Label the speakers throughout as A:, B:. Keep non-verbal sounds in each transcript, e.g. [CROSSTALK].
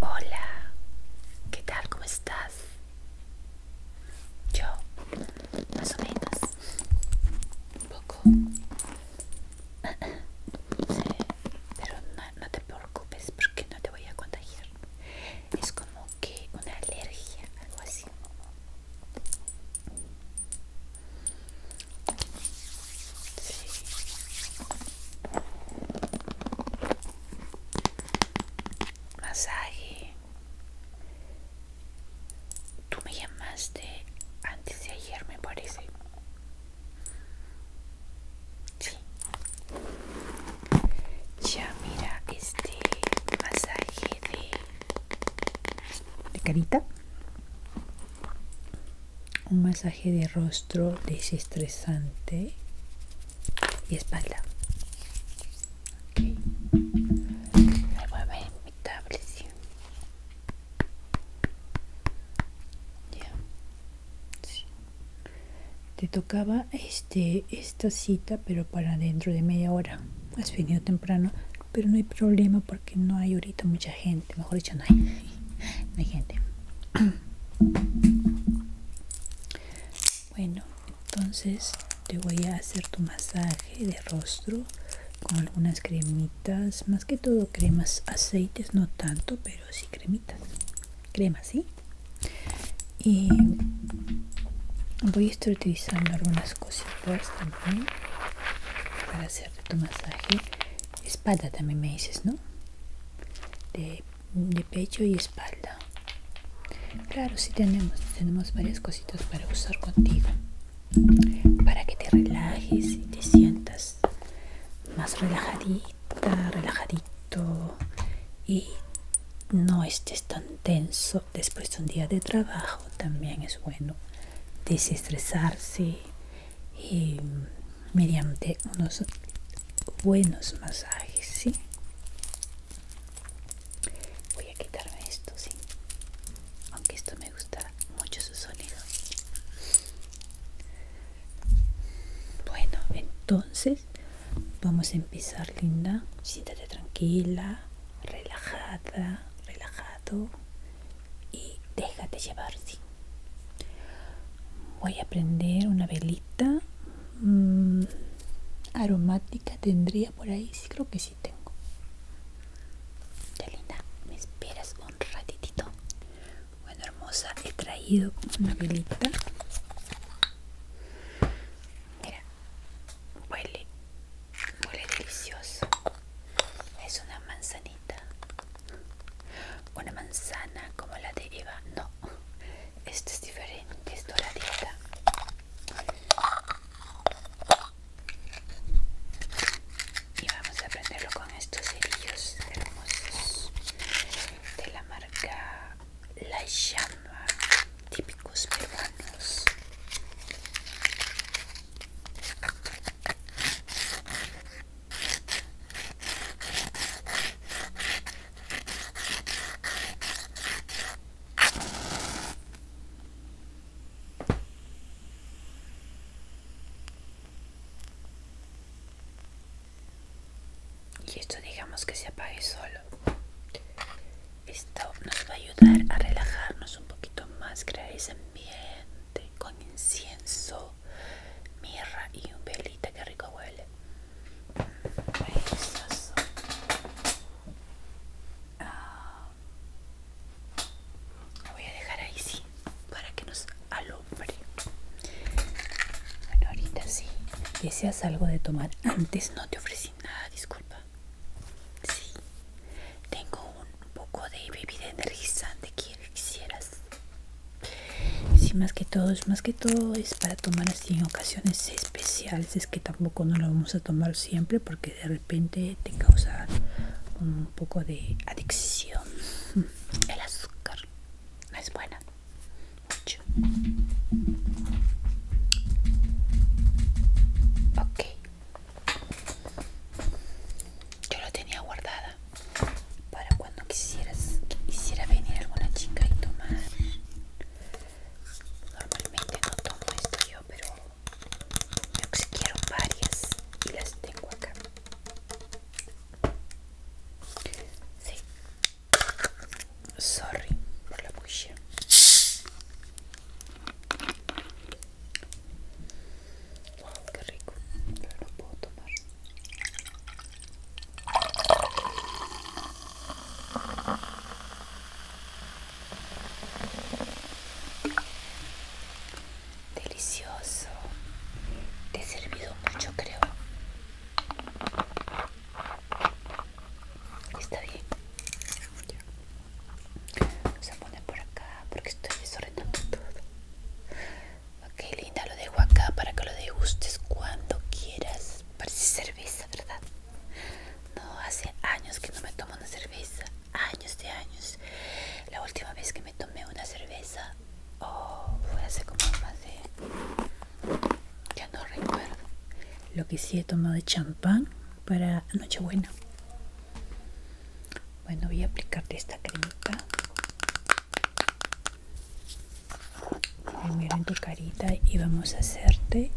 A: Hola, ¿qué tal? ¿Cómo estás? Yo, más o menos, un poco, [CLEARS THROAT] pero no, no te preocupes porque no te voy a contagiar. Es como que una alergia, algo así. Masaje. Tú me llamaste antes de ayer, me parece. Sí. Ya mira este masaje de, carita un masaje de rostro desestresante y espalda okay. me mi Ya. te tocaba este esta cita, pero para dentro de media hora. Has venido temprano, pero no hay problema porque no hay ahorita mucha gente. Mejor dicho, no hay, hay gente. [CLEARS THROAT] Bueno, entonces te voy a hacer tu masaje de rostro con algunas cremitas, más que todo cremas, aceites, no tanto, pero sí cremitas, cremas, ¿sí? Y voy a estar utilizando algunas cositas también para hacerte tu masaje espalda también me dices no de, pecho y espalda claro si tenemos tenemos varias cositas para usar contigo para que te relajes y te sientas más relajadita relajadito y no estés tan tenso después de un día de trabajo también es bueno desestresarse mediante unos buenos masajes, Voy a quitarme esto, ¿sí? Aunque esto me gusta mucho su sonido. Bueno, entonces vamos a empezar, linda. Siéntate tranquila relajada, relajado y déjate llevar, sí. Voy a prender una velita mm, aromática, tendría por ahí, sí creo que sí tengo. Ya linda, me esperas un ratitito. Bueno, hermosa, he traído una velita. Mira, Huele, huele delicioso. Es una manzanita. Una manzana como la de Eva. No, esto es diferente, es doradita. Y vamos a aprenderlo con estos cerillos hermosos de la marca la llama típicos peruanos y esto digamos que se apague solo esto nos va a ayudar a relajarnos un poquito más, crear ese ambiente con incienso, mirra y un velita que rico huele. Ah. voy a dejar ahí sí, para que nos alumbre. Bueno, ahorita sí. Deseas algo de tomar. Antes no te ofrecí nada, disculpa. Sí, tengo un poco de bebida energizante que quisieras. Sí, más que todo, es más que todo es para tomar en ocasiones especiales. Es que tampoco no lo vamos a tomar siempre porque de repente te causa un poco de adicción. El azúcar no es buena mucho. Ok. Yo lo tenía guardada para cuando quisieras quisiera venir alguna chica y tomar. Normalmente no tomo esto yo, pero me varias y las tengo acá. Sí, Sorry por la bulla. Wow, rico. Pero no puedo tomar. Delicioso. Te he servido mucho, creo. Está bien. Vamos a poner por acá porque estoy desordenando todo. Ok, linda, lo dejo acá para que lo degustes cuando quieras. Parece cerveza, ¿verdad? No, hace años que no me tomo una cerveza. Años de años. La última vez que me tomé una cerveza, oh, fue hace como más de ya no recuerdo lo que sí he tomado de champán para nochebuena bueno voy a aplicarte esta cremita primero en tu carita y vamos a hacerte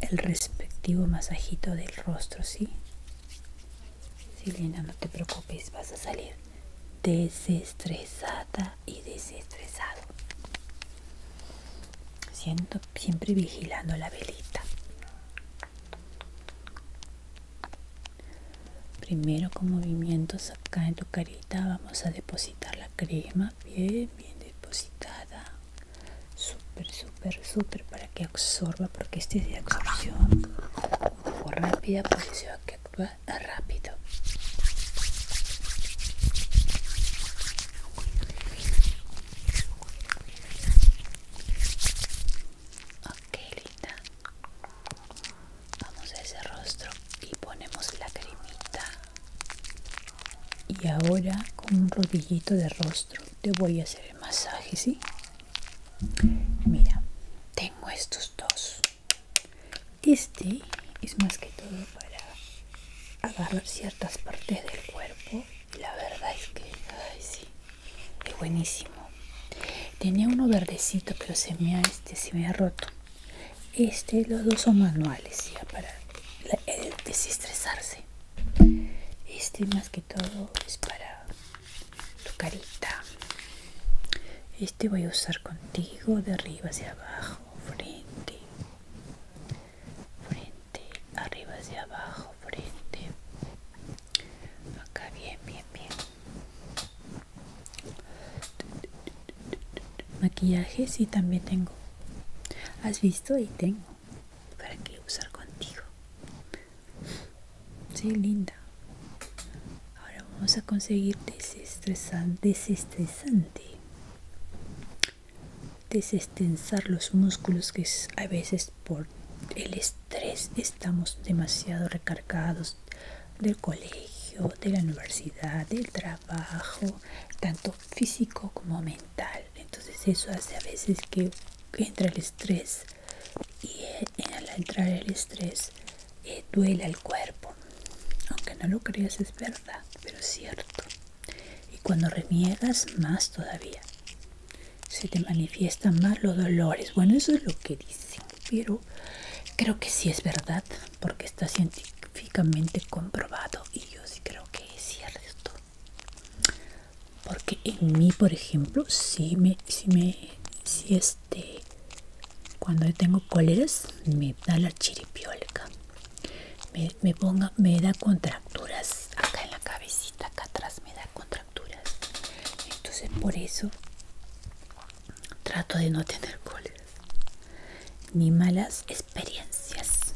A: el respectivo masajito del rostro sí Silena, no te preocupes, vas a salir desestresada y desestresado. Siento siempre vigilando la velita. Primero con movimientos acá en tu carita vamos a depositar la crema bien, bien depositada. super súper, súper para que absorba porque este es de absorción. rápida, por eso que actúa rápido. Ok, linda. Vamos a ese rostro y ponemos la cremita. Y ahora con un rodillito de rostro te voy a hacer el masaje, ¿sí? Mira, tengo estos dos. Este es más que todo para agarrar ciertas partes del cuerpo. La verdad es que, ay, sí, es buenísimo. Tenía uno verdecito, pero se me ha, este, se me ha roto. Este, los dos son manuales, ya para desestresarse. Este más que todo es para tu carita. Este voy a usar contigo de arriba hacia abajo frente frente arriba hacia abajo frente acá bien bien bien maquillaje sí también tengo has visto y tengo para que usar contigo si linda ahora vamos a conseguir desestresante desestresante desestensar los músculos que a veces por el estrés estamos demasiado recargados del colegio, de la universidad, del trabajo, tanto físico como mental. Entonces eso hace a veces que entra el estrés y eh, al entrar el estrés eh, duela duele cuerpo. Aunque no lo creas es pero es cierto. Y cuando reniegas, más todavía. Se te manifiestan más los dolores. Bueno, eso es lo que dicen, pero creo que sí es verdad, porque está científicamente comprobado. Y yo sí creo que es cierto. Porque en mí, por ejemplo, si me, si me, si este, cuando yo tengo cóleras me da la chiripiolca me, me ponga me da contracturas acá en la cabecita acá atrás me da contracturas entonces por eso trato de no tener cóleras ni malas experiencias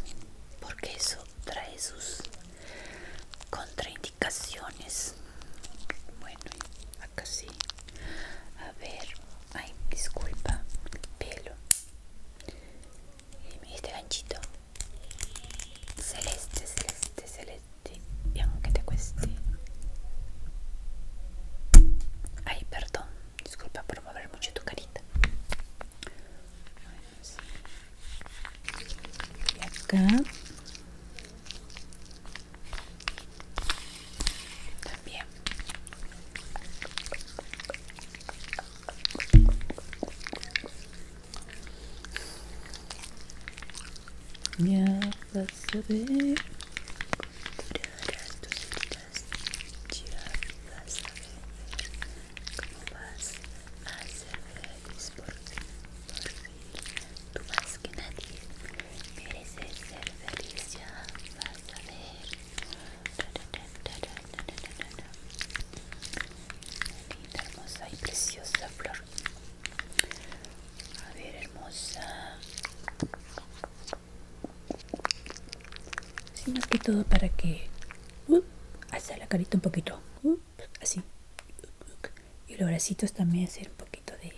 A: porque eso trae sus contraindicaciones bueno acá sí a ver ay disculpa pelo y este ganchito celeste celeste celeste y aunque te cueste ay perdón disculpa por mover mucho tu carita y acá también ya vas a ver tus heridas ya vas a ver cómo vas a ser feliz por fin por fin tú más que nadie mereces ser feliz ya vas a ver Linda, hermosa y preciosa flor. A ver, hermosa. Sino que todo para que Hasta uh, la carita un poquito. Uh, así. Y los bracitos también hacer un poquito de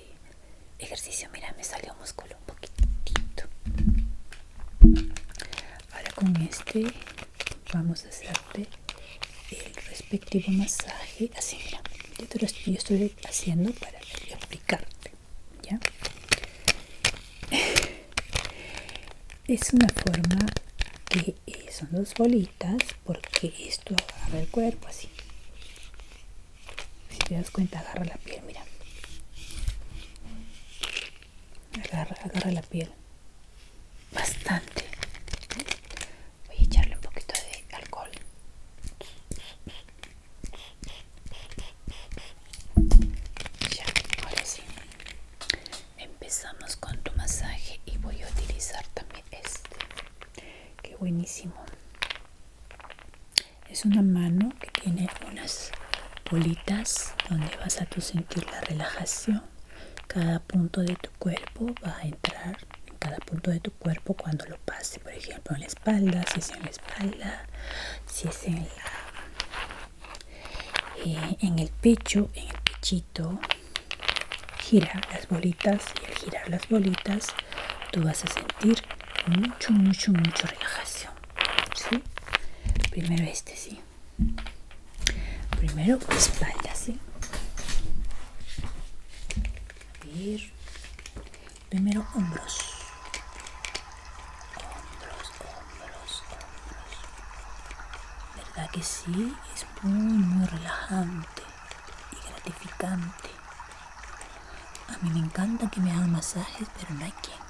A: ejercicio mira me salió músculo un poquitito ahora con este vamos a hacerte el respectivo masaje así yo, estoy, haciendo para aplicarte ya es una forma que eh, son dos bolitas porque esto agarra el cuerpo así si te das cuenta agarra la piel mira agarra, la piel bastante voy a echarle un poquito de alcohol ya ahora sí empezamos con tu masaje y voy a utilizar también este que buenísimo es una mano que tiene unas bolitas donde vas a tu sentir la relajación cada punto de tu cuerpo va a entrar en cada punto de tu cuerpo cuando lo pase por ejemplo en la espalda si es en la espalda si es en eh, el pecho en el pechito gira las bolitas y al girar las bolitas tú vas a sentir mucho, mucho, mucho relajación. ¿sí? Primero este, sí. Primero espalda, sí. Primero hombros. Hombros, hombros, hombros. ¿Verdad que sí? Es muy, muy relajante y gratificante. A mí me encanta que me hagan masajes, pero no hay quien.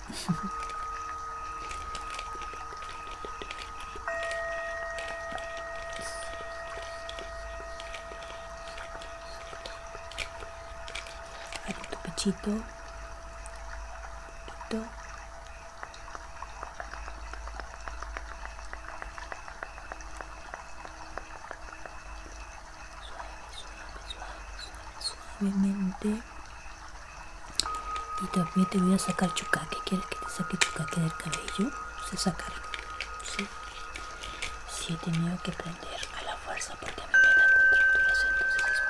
A: tu pechito. Pechito. suave, suave, suavemente. Y también te voy a sacar chucaque. ¿Quieres que te saque chucaque del cabello? Se sacará. ¿sí? sí, he tenido que prender a la fuerza porque a mí me da contracturas, entonces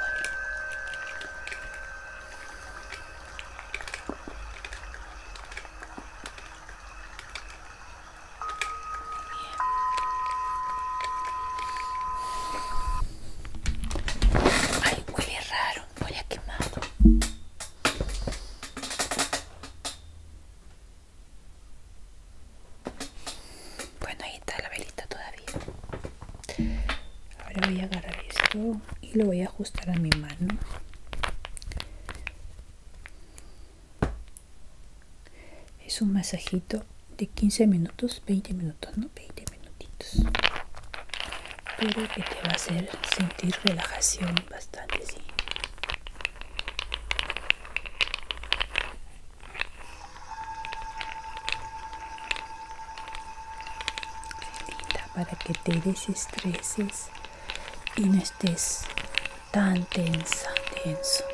A: Bien. Ay, huele raro, voy a quemado. Bueno, ahí está la velita todavía. Ahora voy a agarrar esto y lo voy a ajustar a mi mano es un masajito de 15 minutos 20 minutos no 20 minutitos pero que te va a hacer sentir relajación bastante sí para que te desestreses y no estés tan tensa, tenso.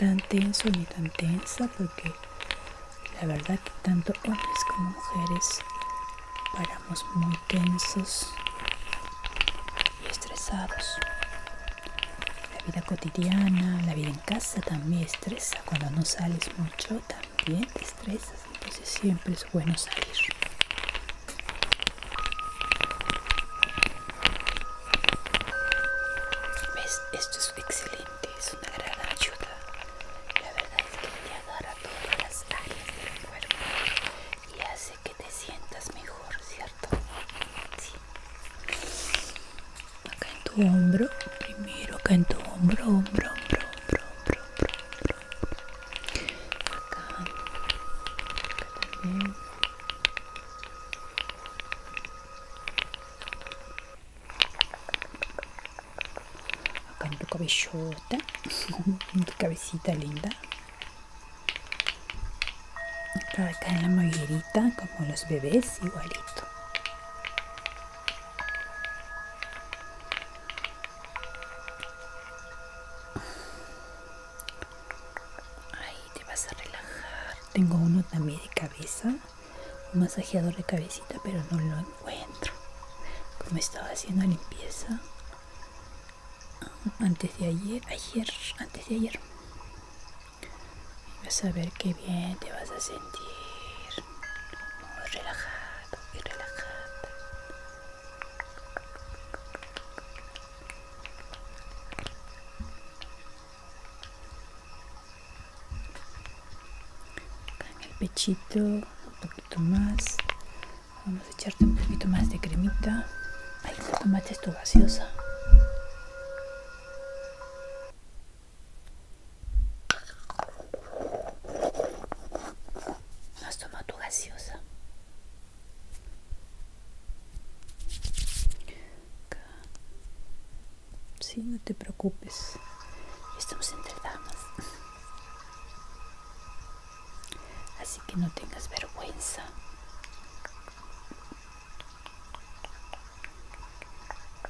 A: Tan tenso ni tan tensa porque la verdad que tanto hombres como mujeres paramos muy tensos y estresados. La vida cotidiana, la vida en casa también estresa cuando no sales mucho. También te Estresas, entonces siempre es bueno salir. ¿Ves? Esto es excelente, es una gran ayuda. La verdad es que te agarra todas las áreas del cuerpo y hace que te sientas mejor, ¿cierto? Sí. Acá en tu hombro, primero acá en tu hombro, hombro, hombro, hombro, hombro, hombro, acá, acá también acá en tu cabellota [LAUGHS] en tu cabecita linda acá, en la mollerita como los bebés igualito Ahí te vas a relajar. Tengo uno también de cabeza, un masajeador de cabecita, pero no lo encuentro. Como estaba haciendo limpieza ah, antes de ayer, ayer, antes de ayer. Vas a ver qué bien te vas a sentir muy relajado y relajada. En el pechito, un poquito más. Vamos a echarte un poquito más de cremita. Ahí se tomaste esto vaciosa. ¿No has tomado tu gaseosa? Sí, no te preocupes. Estamos entre damas. Así que no tengas vergüenza.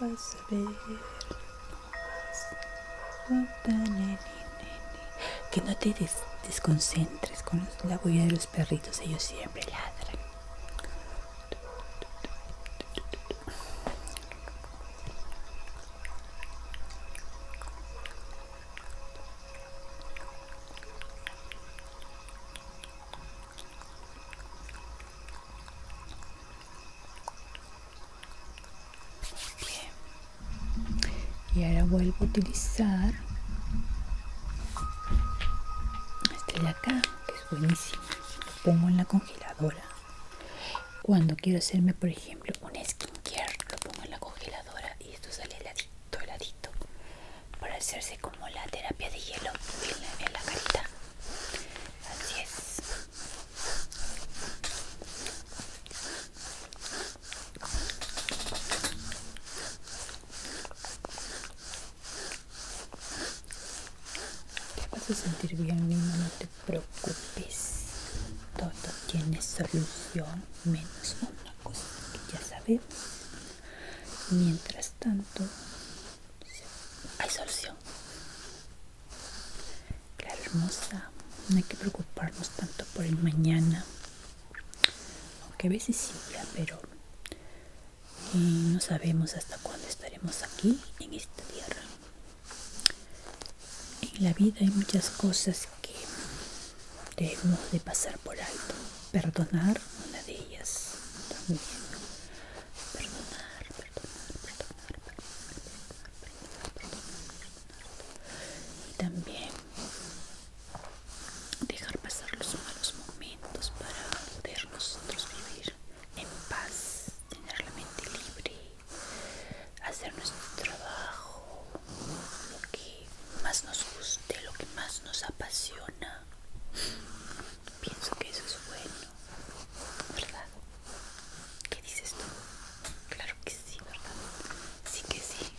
A: vas a ver que no te desconcentres con la huella de los perritos ellos siempre ladran y ahora vuelvo a utilizar este de acá, que es buenísimo. Lo pongo en la congeladora. Cuando quiero hacerme, por ejemplo, un skincare, lo pongo en la congeladora y esto sale heladito, heladito, para hacerse como la terapia de hielo en la, carita. Así es. Te vas a sentir bien, mismo, no te preocupes. Todo tiene solución, menos una cosa que ya sabes Mientras tanto, hay solución. qué hermosa, no hay que preocuparnos tanto por el mañana, aunque a veces sí, pero eh, no sabemos hasta cuándo estaremos aquí en esta tierra. En la vida hay muchas cosas que debemos de pasar por alto. Perdonar una de ellas también perdonar, perdonar, perdonar, perdonar, perdonar, perdonar, perdonar, y también dejar pasar los malos momentos para poder nosotros vivir en paz, tener la mente libre, hacer nuestro trabajo, lo que más nos guste, lo que más nos apasiona Pienso que eso es bueno, ¿verdad? ¿Qué dices tú? Claro que sí, ¿verdad? Sí que sí.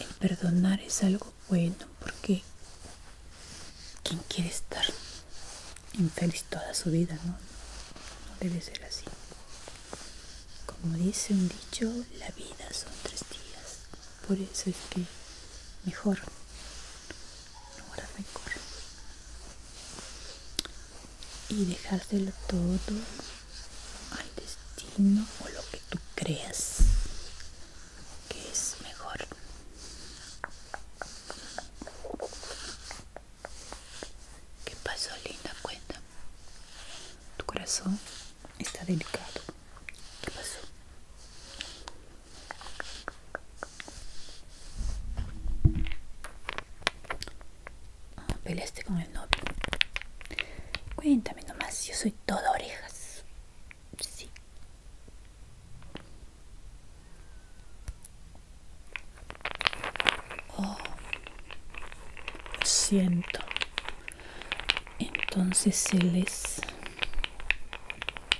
A: El perdonar es algo bueno porque ¿Quién quiere estar infeliz toda su vida, ¿no? No debe ser así. Como dice un dicho, la vida son tres días por eso es que mejor ahora mejor y dejárselo todo al destino o lo que tú creas que es mejor ¿Qué pasó, linda? Cuenta. ¿Tu corazón? Está delicado. ¿Qué pasó? Ah, peleaste con el novio. Cuéntame nomás, yo soy todo orejas. Sí. Oh, siento entonces él es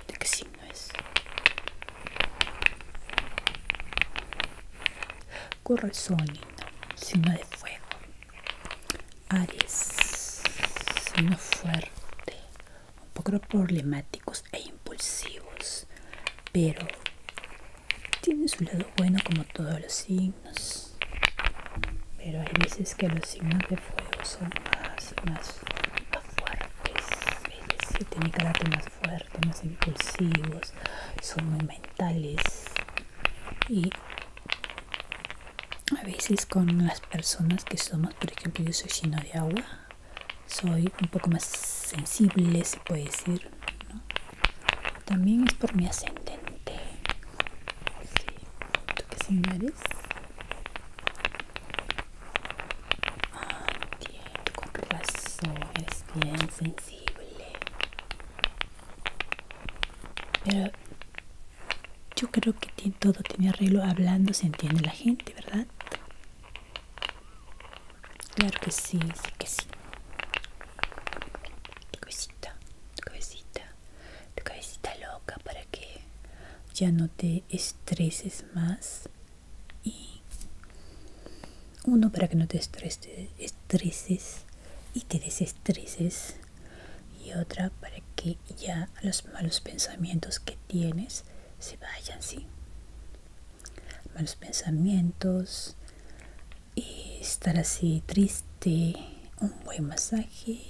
A: de qué signo es signo de fuego Aries signo fuerte un poco problemáticos e impulsivos pero tiene su lado bueno como todos los signos pero hay veces que los signos de fuego son más, más, fuertes se tienen carácter más fuerte más impulsivos son muy mentales y a veces con las personas que somos por ejemplo yo soy lleno de agua soy un poco más sensible se puede decir también es por mi ascendente Sí, ¿tú señales? Ah, entiendo, con razón, es bien sensible. Pero yo creo que todo tiene arreglo hablando, se entiende la gente, ¿verdad? Claro que sí, sí que sí. que cosita tu cabecita loca para que ya no te estreses más y uno para que no te estreses y te desestreses y otra para que ya los malos pensamientos que tienes se vayan, ¿sí? Malos pensamientos, y estar así triste de este, un buen masaje,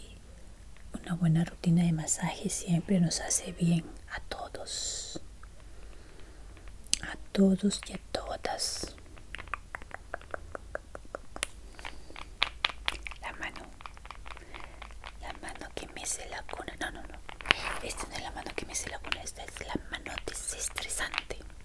A: una buena rutina de masaje siempre nos hace bien a todos, a todos y a todas. La mano, la mano que me se la cuna, no, no, no, esta no es la mano que me se la cuna, esta es la mano desestresante.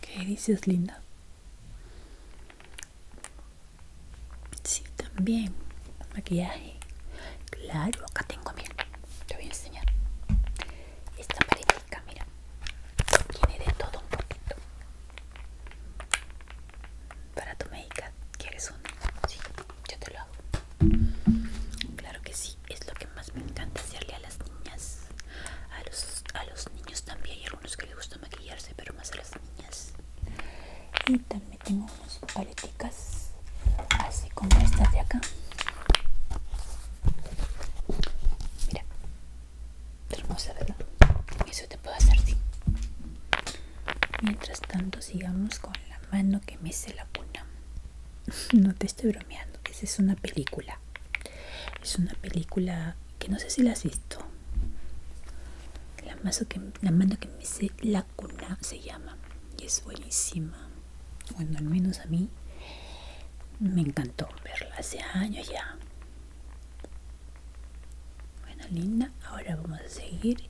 A: ¿Qué dices, linda? Sí, también. Maquillaje. Claro, acá tengo, mira. Te voy a enseñar. Esta paletita, mira. Tiene de todo un poquito. Para tu médica, ¿quieres una? Sí, yo te lo hago. Claro que sí, es lo que más me encanta hacerle a las niñas a los, a los niños también hay algunos que les gusta maquillarse pero más a las niñas y también tengo unas paleticas así como estas de acá mira hermosa verdad eso te puedo hacer sí mientras tanto sigamos con la mano que me hace la puna [LAUGHS] no te estoy bromeando esa es una película es una película que no sé si la has visto. La, que, mano que me dice la cuna se llama y es buenísima. Bueno, al menos a mí me encantó verla hace años ya. Bueno, linda, ahora vamos a seguir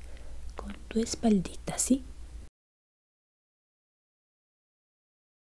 A: con tu espaldita, ¿sí?